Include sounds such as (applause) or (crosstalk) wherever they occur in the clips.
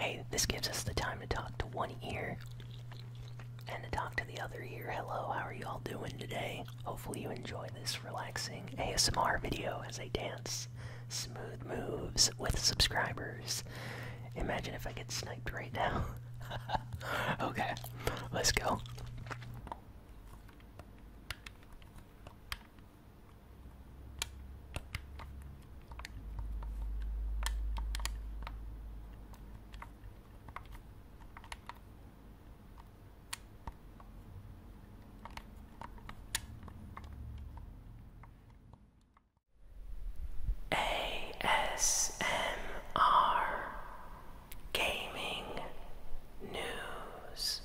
Hey, this gives us the time to talk to one ear and to talk to the other ear. Hello, how are you all doing today? Hopefully, you enjoy this relaxing ASMR video as I dance smooth moves with subscribers. Imagine if I get sniped right now. (laughs) okay, let's go. ASMR Gaming News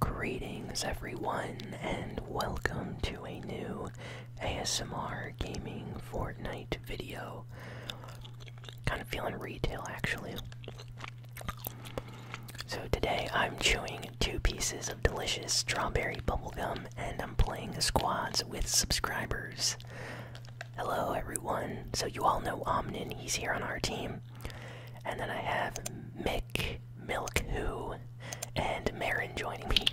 Greetings, everyone, and welcome to a new ASMR Gaming Fortnite video. Kind of feeling retail, actually. So, today I'm chewing two pieces of delicious strawberry bubblegum and I'm playing squads with subscribers. Hello, everyone. So, you all know Omnin, he's here on our team. And then I have Mick Milk Who and Marin joining me.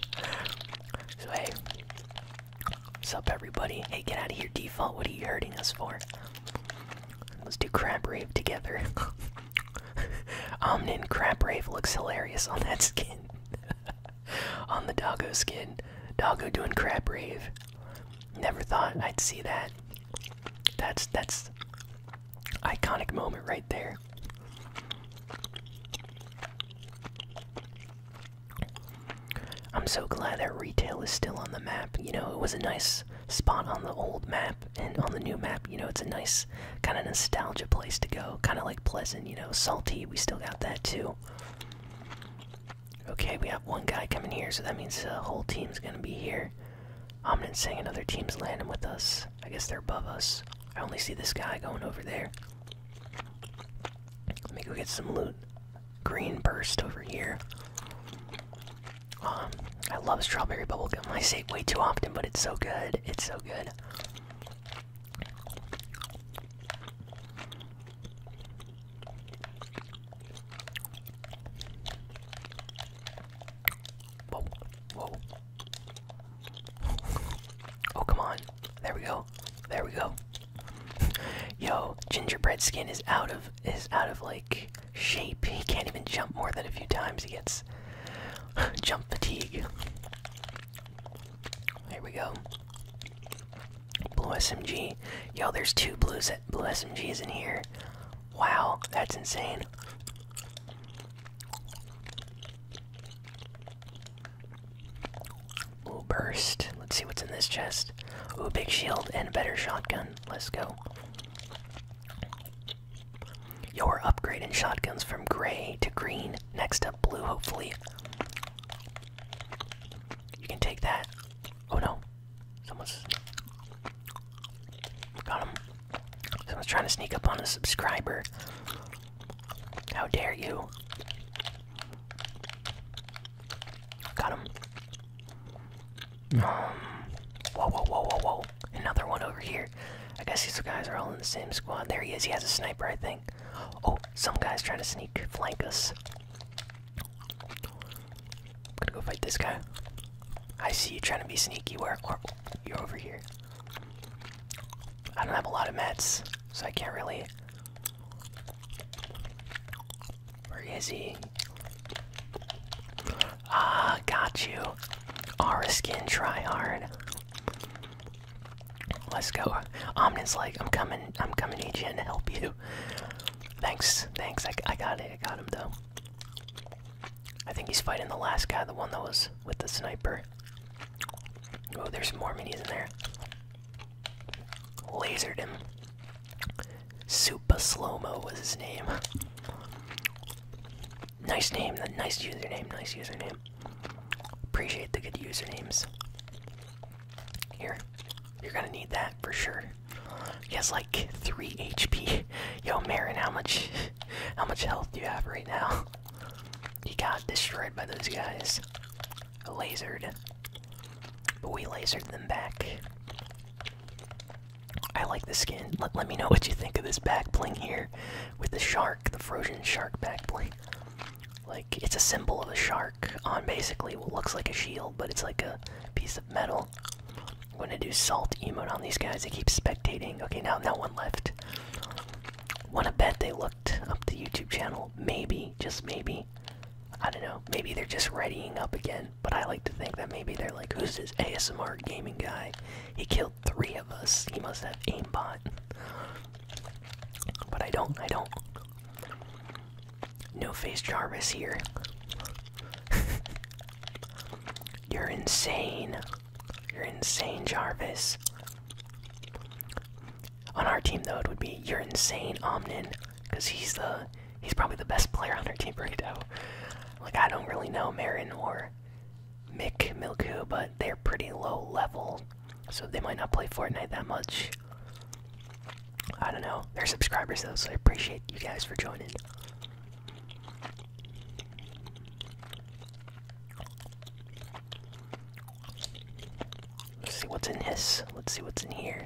So hey, what's up, everybody? Hey, get out of here, default. What are you hurting us for? Let's do crab rave together. (laughs) Omnin crab rave looks hilarious on that skin. (laughs) on the doggo skin, doggo doing crab rave. Never thought I'd see that. That's that's iconic moment right there. I'm so glad that retail is still on the map. You know, it was a nice spot on the old map, and on the new map, you know, it's a nice kind of nostalgia place to go. Kind of like Pleasant, you know, Salty, we still got that too. Okay, we have one guy coming here, so that means the whole team's gonna be here. I'm Omnin's saying another team's landing with us. I guess they're above us. I only see this guy going over there. Let me go get some loot. Green burst over here. Um, I love strawberry bubble gum. I say it way too often, but it's so good. It's so good. Whoa, whoa. oh, come on. There we go. There we go. Yo, gingerbread skin is out of is out of like shape. He can't even jump more than a few times. He gets (sighs) jump fatigue. Here we go. Blue SMG. Yo, there's two blue blue SMGs in here. Wow, that's insane. Ooh, burst. Let's see what's in this chest. Ooh, big shield and a better shotgun. Let's go. You're upgrading shotguns from gray to green. Next up, blue, hopefully. You can take that. Oh no. Someone's. Got him. So I was trying to sneak up on a subscriber. How dare you? Got him. Hmm. Um, whoa, whoa, whoa, whoa, whoa. Another one over here. I guess these guys are all in the same squad. There he is. He has a sniper, I think. Oh, some guy's trying to sneak flank us. I'm gonna go fight this guy. I see you trying to be sneaky. Where? Or, you're over here. I don't have a lot of meds, so I can't really. Where is he? Ah, got you. Our skin try hard. Let's go. Omnin's like, I'm coming, I'm coming, AGN, to help you. Thanks, thanks. I, I got it, I got him though. I think he's fighting the last guy, the one that was with the sniper. Oh, there's more minis in there. Lasered him. Super Slowmo was his name. Nice name, nice username, nice username. Appreciate the good usernames. Here, you're gonna need that for sure. He has like 3 HP. (laughs) Yo, Marin, how much (laughs) How much health do you have right now? You got destroyed by those guys. Lasered. But we lasered them back. I like the skin. Let, me know what you think of this back bling here with the shark, the frozen shark back bling. Like, it's a symbol of a shark on basically what looks like a shield, but it's like a piece of metal. I'm gonna do salt emote on these guys. They keep spectating. Okay, now, now one left. Wanna bet they looked up the YouTube channel? Maybe, just maybe. I don't know. Maybe they're just readying up again. But I like to think that maybe they're like, who's this ASMR gaming guy? He killed three of us. He must have aimbot. But I don't. I don't. No face Jarvis here. (laughs) You're insane. You're insane, Jarvis. On our team, though, it would be you're insane, Omnin, because he's the he's probably the best player on our team right now. Like I don't really know Marin or Mick Milku, but they're pretty low level, so they might not play Fortnite that much. I don't know. They're subscribers though, so I appreciate you guys for joining. Let's see what's in this. Let's see what's in here.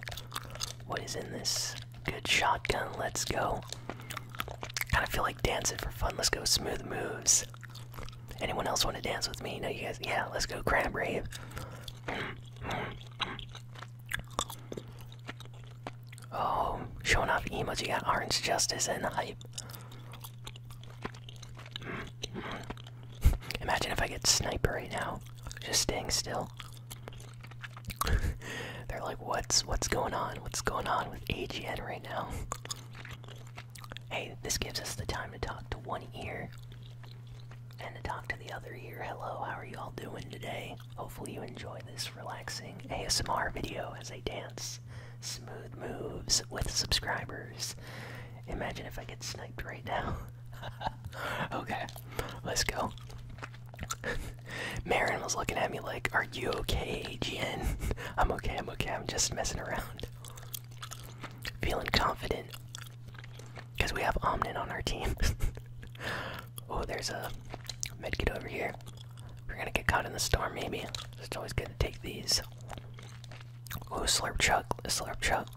What is in this? Good shotgun. Let's go. Kind of feel like dancing for fun. Let's go smooth moves. Anyone else want to dance with me? No, you guys. Yeah, let's go crab rave. Oh, showing off emoji got orange justice and hype. Imagine if I get sniper right now, just staying still. (laughs) They're like, what's what's going on? What's going on with AGN right now? hey, this gives us the time to talk to one ear and to talk to the other ear. Hello, how are you all doing today? Hopefully you enjoy this relaxing ASMR video as I dance smooth moves with subscribers. Imagine if I get sniped right now. (laughs) okay, let's go. (laughs) Marin was looking at me like, Are you okay, GN? (laughs) I'm okay, I'm okay, I'm just messing around. Feeling confident. Because we have Omnin on our team. oh, there's a medkit over here. We're gonna get caught in the storm, maybe. It's always good to take these. Ooh, slurp Chuck, slurp Chuck.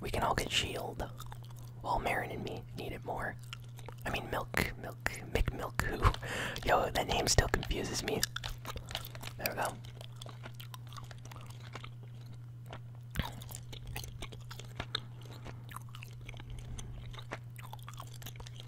We can all get shield. While Marin and me need it more. I mean, milk, milk, milk, Milk, who? (laughs) Yo, that name still confuses me. There we go.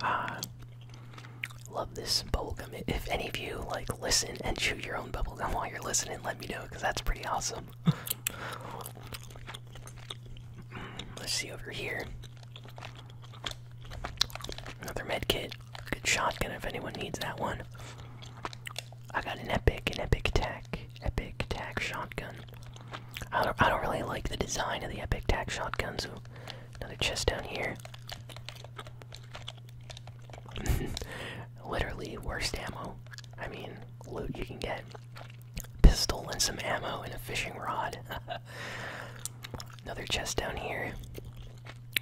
Ah, love this bubblegum. If any of you like listen and chew your own bubblegum while you're listening, let me know because that's pretty awesome. Mm, let's see over here. Another med kit. Good shotgun if anyone needs that one. I got an epic, an epic attack. Epic Tac Shotgun. I don't, really like the design of the Epic Tac Shotgun, so another chest down here. (laughs) Literally, worst ammo. I mean, loot you can get. Pistol and some ammo and a fishing rod. (laughs) Another chest down here.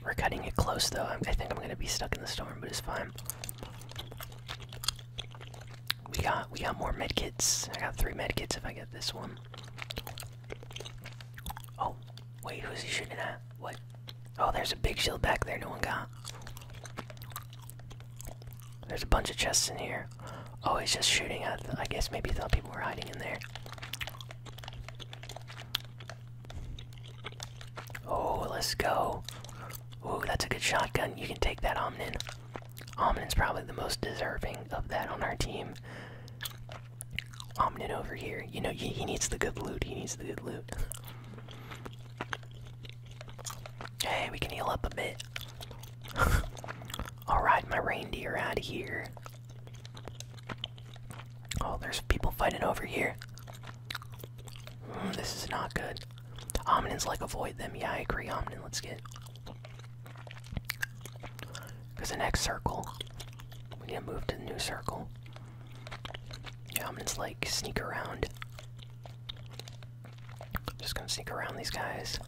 We're cutting it close though. I think I'm gonna be stuck in the storm, but it's fine. We got we got more medkits. I got three medkits if I get this one. Oh, wait, who's he shooting at? What? Oh, there's a big shield back there no one got. There's a bunch of chests in here. Oh, he's just shooting at I guess maybe he thought people were hiding in there. Oh, let's go. Ooh, that's a good shotgun. You can take that, Omnin. Omnin's probably the most deserving of that on our team. Omnin over here. You know, he needs the good loot. He needs the good loot. Hey, we can heal up a bit. (laughs) I'll ride my reindeer out of here. Oh, there's people fighting over here. Hmm, this is not good. Omnin's like, avoid them. Yeah, I agree, Omnin. Let's get because the next circle, we need to move to the new circle. Yeah, I'm just like sneak around. I'm just gonna sneak around these guys.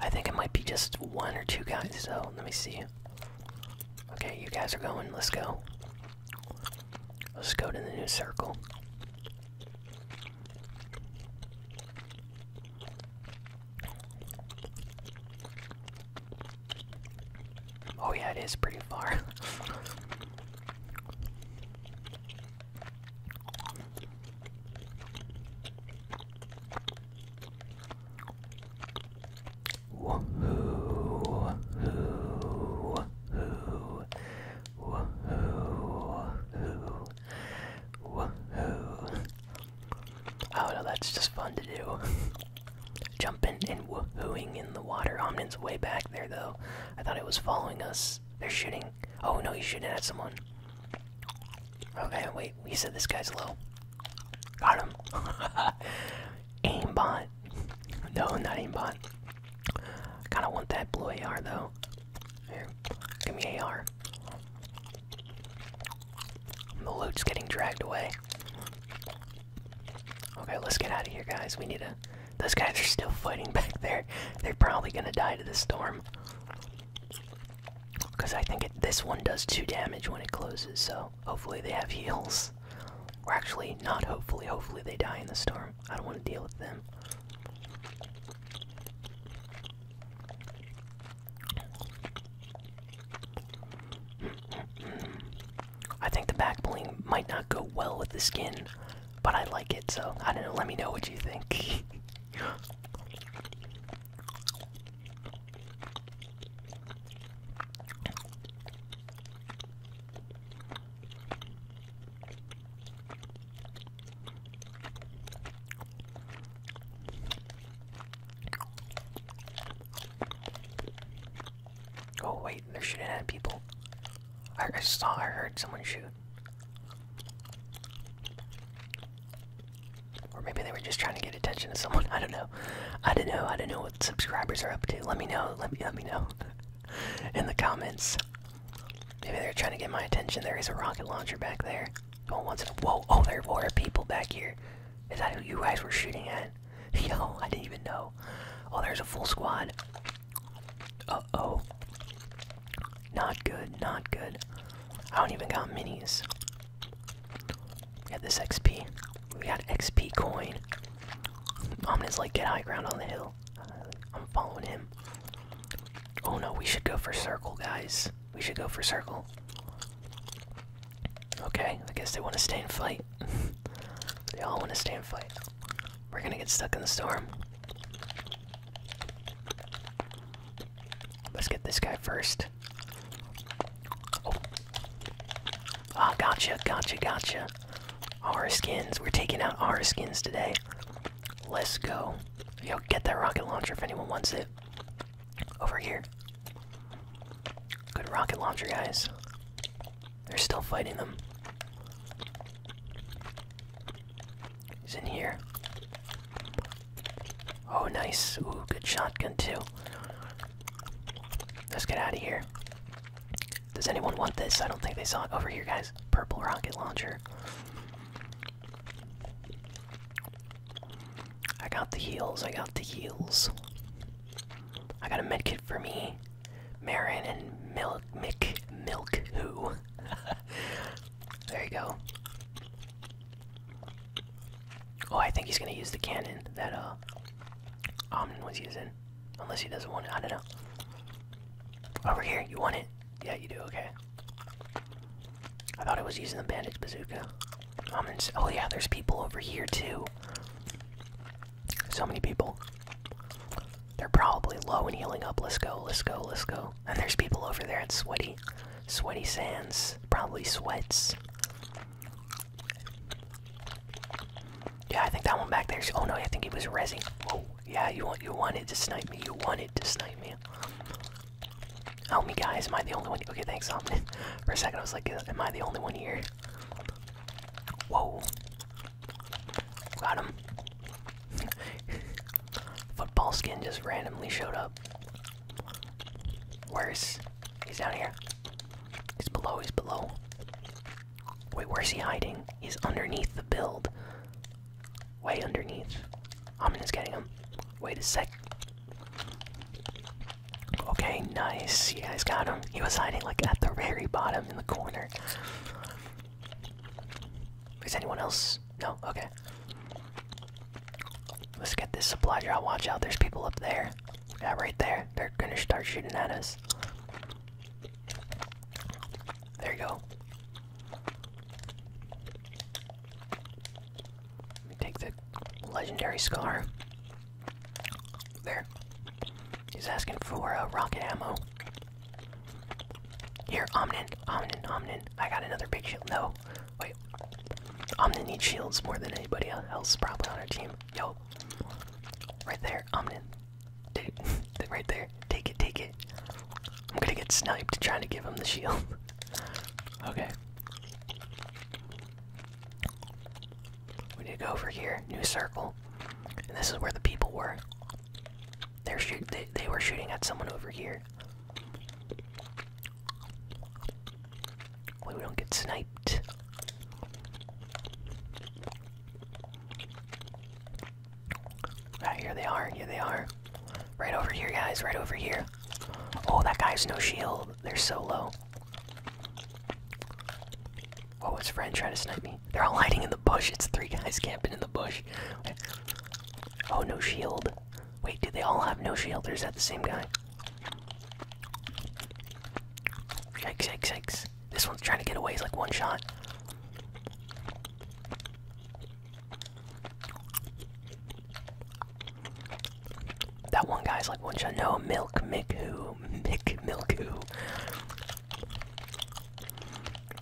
I think it might be just one or two guys, so let me see. Okay, you guys are going, let's go. Let's go to the new circle. Oh yeah, it is pretty far. (laughs) Oh no, that's just fun to do. Jumping and woohooing in the water. Omnin's way back there though. I thought it was following us. They're shooting. Oh no, you he's shooting at someone. Okay, wait. We said this guy's low. Got him. (laughs) aimbot. No, not aimbot. I kinda want that blue AR though. Here, give me AR. The loot's getting dragged away. Okay, let's get out of here, guys. We need to. Those guys are still fighting (laughs) back there. They're probably gonna die to the storm. Because I think this one does 2 damage when it closes, so hopefully they have heals. Or actually, not hopefully, hopefully they die in the storm. I don't want to deal with them. I think the back might not go well with the skin, but I like it, so Let me know what you think. Oh wait, they're shooting at people. I, saw, I heard someone shoot. Or maybe they were just trying to get attention to someone. (laughs) I don't know. I don't know. I don't know what subscribers are up to. Let me know. Let me let me know (laughs) in the comments. Maybe they're trying to get my attention. There is a rocket launcher back there. Going once in whoa! Oh, there were people back here. Is that who you guys were shooting at? (laughs) Yo, I didn't even know. Oh, there's a full squad. Uh oh. Not good. Not good. I don't even got minis. We got this XP. We got XP coin. Omni's like get high ground on the hill. I'm following him. Oh no, we should go for circle, guys. We should go for circle. Okay, I guess they want to stay and fight. (laughs) they all want to stay and fight. We're gonna get stuck in the storm. Let's get this guy first. Oh. Ah, oh, gotcha, gotcha, gotcha. Our skins. We're taking out our skins today. Let's go. Yo, get that rocket launcher if anyone wants it. Over here. Good rocket launcher, guys. They're still fighting them. He's in here. Oh, nice. Ooh, good shotgun, too. Let's get out of here. Does anyone want this? I don't think they saw it. Over here, guys. Purple rocket launcher. I got the heels. I got the heels. I got a med kit for me, Marin, and Milk, Mick, Milk, who? (laughs) there you go. Oh, I think he's gonna use the cannon that, uh, Omnin was using. Unless he doesn't want it, I don't know. Over here, you want it? Yeah, you do, okay. I thought I was using the bandage bazooka. Um, oh yeah, there's people over here too. So many people. They're probably low and healing up. Let's go, let's go, let's go. And there's people over there at Sweaty. Sweaty Sands. Probably Sweats. Yeah, I think that one back there. Oh no, I think it was resing. Oh, yeah, you want you wanted to snipe me. You wanted tried to snipe me. Help me, guys. Am I the only one? Okay, thanks, Omni. (laughs) For a second, I was like, am I the only one here? Whoa. Got him. (laughs) Football skin just randomly showed up. Where's. He's down here. He's below, he's below. Wait, where's he hiding? He's underneath the build. Way underneath. Omin is getting him. Wait a sec. Okay, nice. You guys got him. He was hiding like at the very bottom in the corner. Is anyone else? No? Okay. Let's get this supply drop. Watch out, there's people up there. Yeah, right there. They're gonna start shooting at us. There you go. Let me take the legendary scar. There. He's asking for a uh, rocket ammo. Here, Omnin, Omnin, Omnin. I got another big shield. No. Wait. Omnin needs shields more than anybody else probably on our team. Yo. Right there, Omnin. Dude, (laughs) right there. Take it, take it. I'm gonna get sniped trying to give him the shield. (laughs) Okay. We need to go over here, new circle. And this is where the people were. They're shoot they, they were shooting at someone over here. we don't get sniped. Ah, here they are, here they are. Right over here, guys, right over here. Oh, that guy has no shield. They're so low. Oh, his friend trying to snipe me. They're all hiding in the bush. It's three guys (laughs) camping in the bush. Oh, no shield. Wait, do they all have no shield or is that the same guy? Yikes, yikes, yikes. This one's trying to get away. It's like one shot. That one guy's like, once you know Milk Miku, Mick Milku.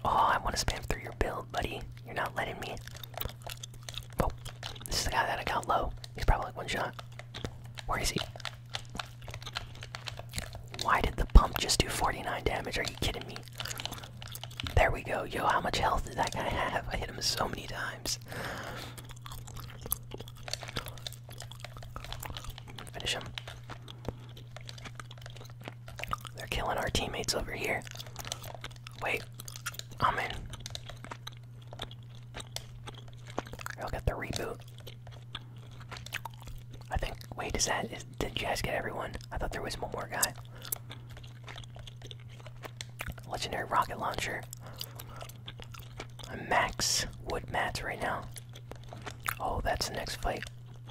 Oh, I want to spam through your build, buddy. You're not letting me. Oh, this is the guy that I got low. He's probably like one shot. Where is he? Why did the pump just do 49 damage? Are you kidding me? There we go. Yo, how much health did that guy have? I hit him so many times. Finish him. They're killing our teammates over here. Wait, I'm in. I'll get the reboot. I think. Wait, is that? Is, did you guys get everyone? I thought there was one more guy. Legendary rocket launcher. Max wood mats right now. Oh, that's the next fight.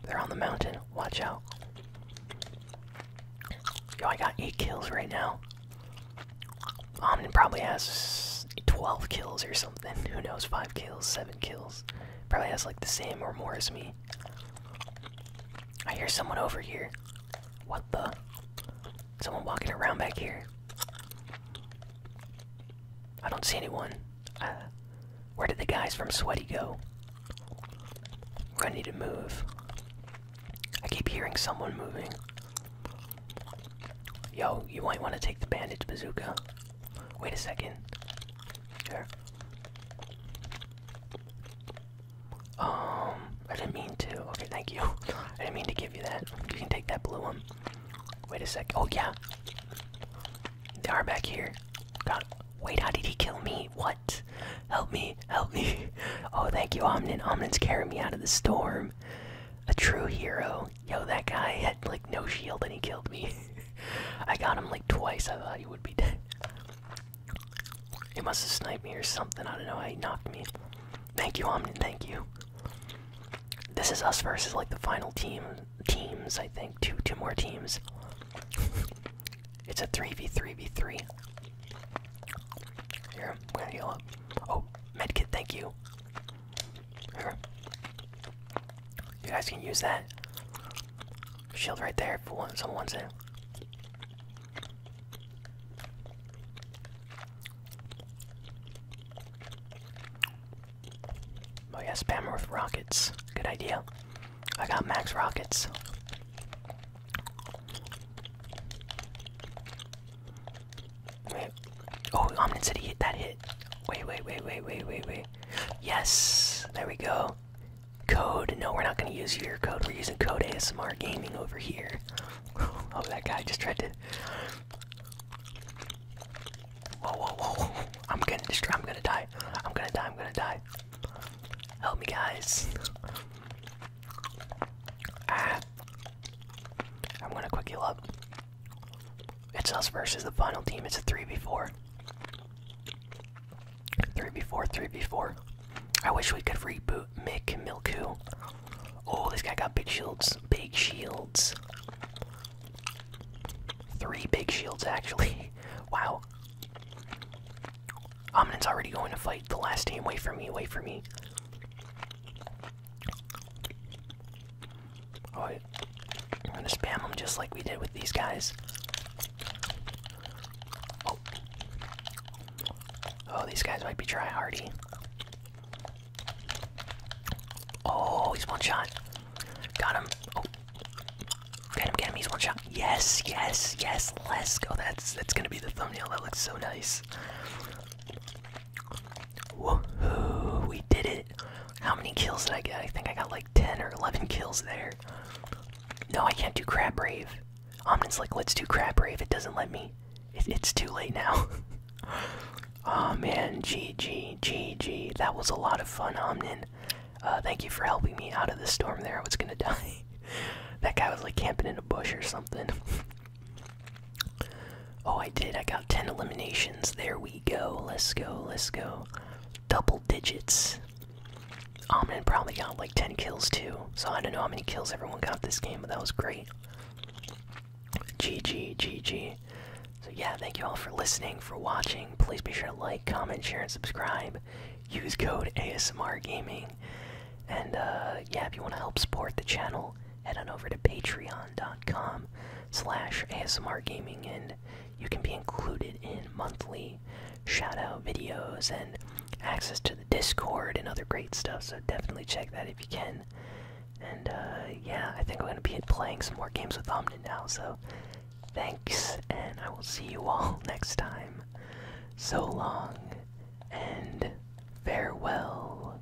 They're on the mountain. Watch out. Yo, I got 8 kills right now. Omnin probably has 12 kills or something. (laughs) Who knows? 5 kills, 7 kills. Probably has like the same or more as me. I hear someone over here. What the? Someone walking around back here. I don't see anyone. Uh, where did the guys from Sweaty go? We're gonna need to move. I keep hearing someone moving. Yo, you might want to take the bandage bazooka. Wait a second. Sure. Um, I didn't mean to. Okay, thank you. (laughs) I didn't mean to give you that. You can take that blue one. Wait a sec. Oh, yeah. They are back here. God. Wait, how did he kill me? What? Help me. Help me. (laughs) Oh, thank you, Omnin. Omnin's carrying me out of the storm. A true hero. Yo, that guy had, like, no shield and he killed me. (laughs) I got him, like, twice. I thought he would be dead. He must have sniped me or something. I don't know. He knocked me. Thank you, Omnin. Thank you. This is us versus like the final team teams. I think two two more teams. it's a three v three v three. Here, I'm gonna heal up. Oh, medkit. Thank you. Here. You guys can use that shield right there if someone wants it. Oh yeah, spam with rockets. Good idea. I got max rockets. Wait. Oh, Omnid City hit that hit. Wait, wait, wait, wait, wait, wait, wait. Yes! There we go. Code. No, we're not gonna use your code. We're using code ASMR Gaming over here. (laughs) oh, that guy just tried to. Whoa, whoa, whoa, I'm gonna destroy. I'm gonna die. I'm gonna die. I'm gonna die. Help me, guys. Ah. I'm gonna quick heal up. It's us versus the final team. It's a 3v4. 3v4, 3v4. I wish we could reboot Mick Milku. Oh, this guy got big shields. Big shields. Three big shields, actually. (laughs) wow. is already going to fight the last team. away from me, away from me. Oh, I'm gonna spam him just like we did with these guys. Oh. Oh, these guys might be try hardy. Oh, he's one shot. Got him. Oh. Get him, get him, he's one shot. Yes, yes, yes, let's go. That's that's gonna be the thumbnail. That looks so nice. Woohoo, we did it. How many kills did I get? I think I got like 10 or 11 kills there. No, I can't do Crab Brave. Omnin's like, let's do Crab if It doesn't let me. it's too late now. (laughs) oh man, GG, GG. That was a lot of fun, Omnin. Uh, thank you for helping me out of the storm there. I was gonna (laughs) die. that guy was like camping in a bush or something. (laughs) oh, I did. I got 10 eliminations. There we go. Let's go, let's go. Double digits. Omnin probably got like 10 kills too. So I don't know how many kills everyone got this game, but that was great. GG, GG. So yeah, thank you all for listening, for watching. Please be sure to like, comment, share, and subscribe. Use code ASMR Gaming. And uh, yeah, if you want to help support the channel, head on over to patreon.com slash ASMR Gaming and you can be included in monthly shoutout videos and access to the Discord and other great stuff. So definitely check that if you can. And uh, yeah, I think I'm gonna be playing some more games with Omnid now. So thanks, and I will see you all (laughs) next time. So long and farewell.